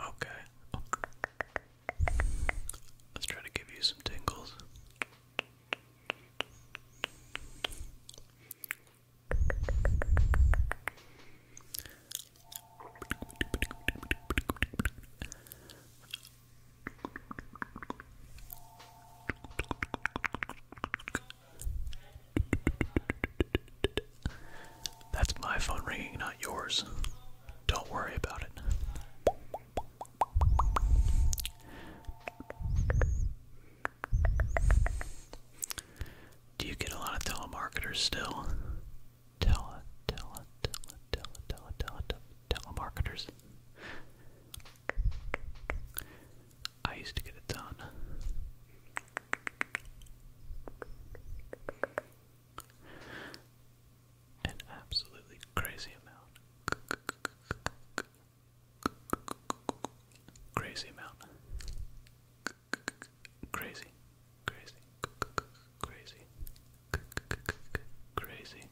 Okay. Let's try to give you some tingles. That's my phone ringing, not yours. Don't worry about it. Do you get a lot of telemarketers still? Tele, tele, tele, tele, tele, tele, telemarketers. I used to get a ton. An absolutely crazy amount. Crazy amount. Crazy. Crazy. Crazy. Crazy.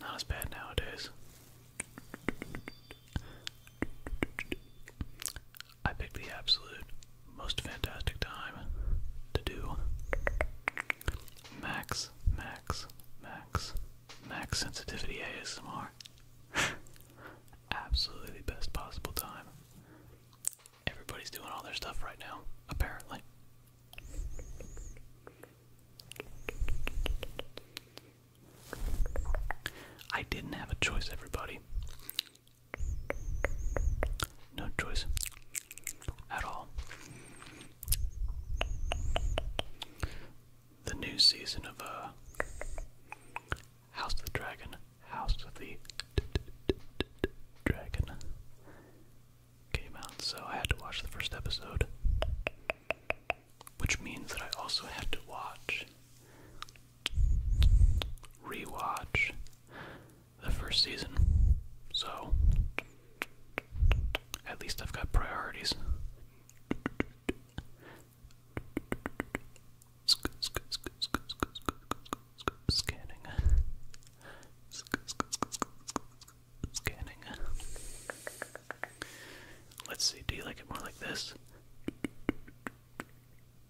Not as bad nowadays. I picked the absolute most fantastic time to do max, max, max, max sensitivity ASMR. Absolutely the best possible time. Everybody's doing all their stuff right now, apparently. I didn't have a choice, everybody. No choice at all. The new season of uh, House of the Dragon, House of the Dragon came out, so I had to watch the first episode, which means that I also had to watch rewatch the first season. So, at least I've got priorities. Scanning. Scanning. Let's see, do you like it more like this?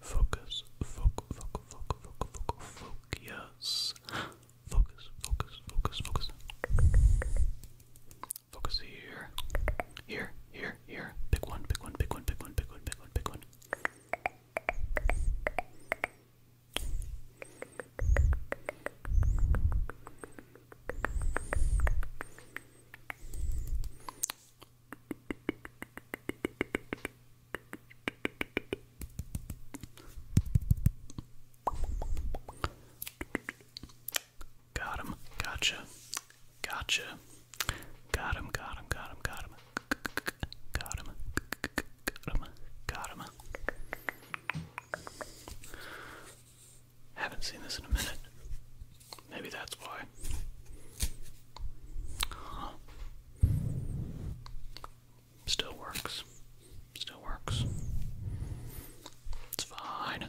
Focus, focus, focus, focus, focus, focus, focus, focus, focus, focus. Focus here, here, here, here. Pick one, pick one, pick one, pick one, pick one, pick one, pick one. Got him. Gotcha. Gotcha. Got him, got him, got him, got him. Got him. Got him. Got him. Haven't seen this in a minute. Maybe that's why. Still works. Still works. It's fine.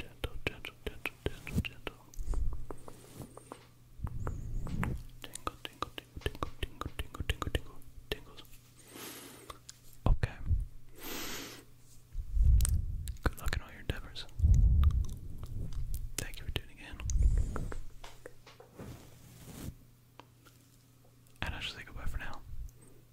Gentle, gentle, gentle, gentle, gentle. Tingle, tingle, tingle, tingle, tingle, tingle, tingle, tingle, tingles. Okay. Good luck in all your endeavors. Thank you for tuning in. And I should say goodbye for now.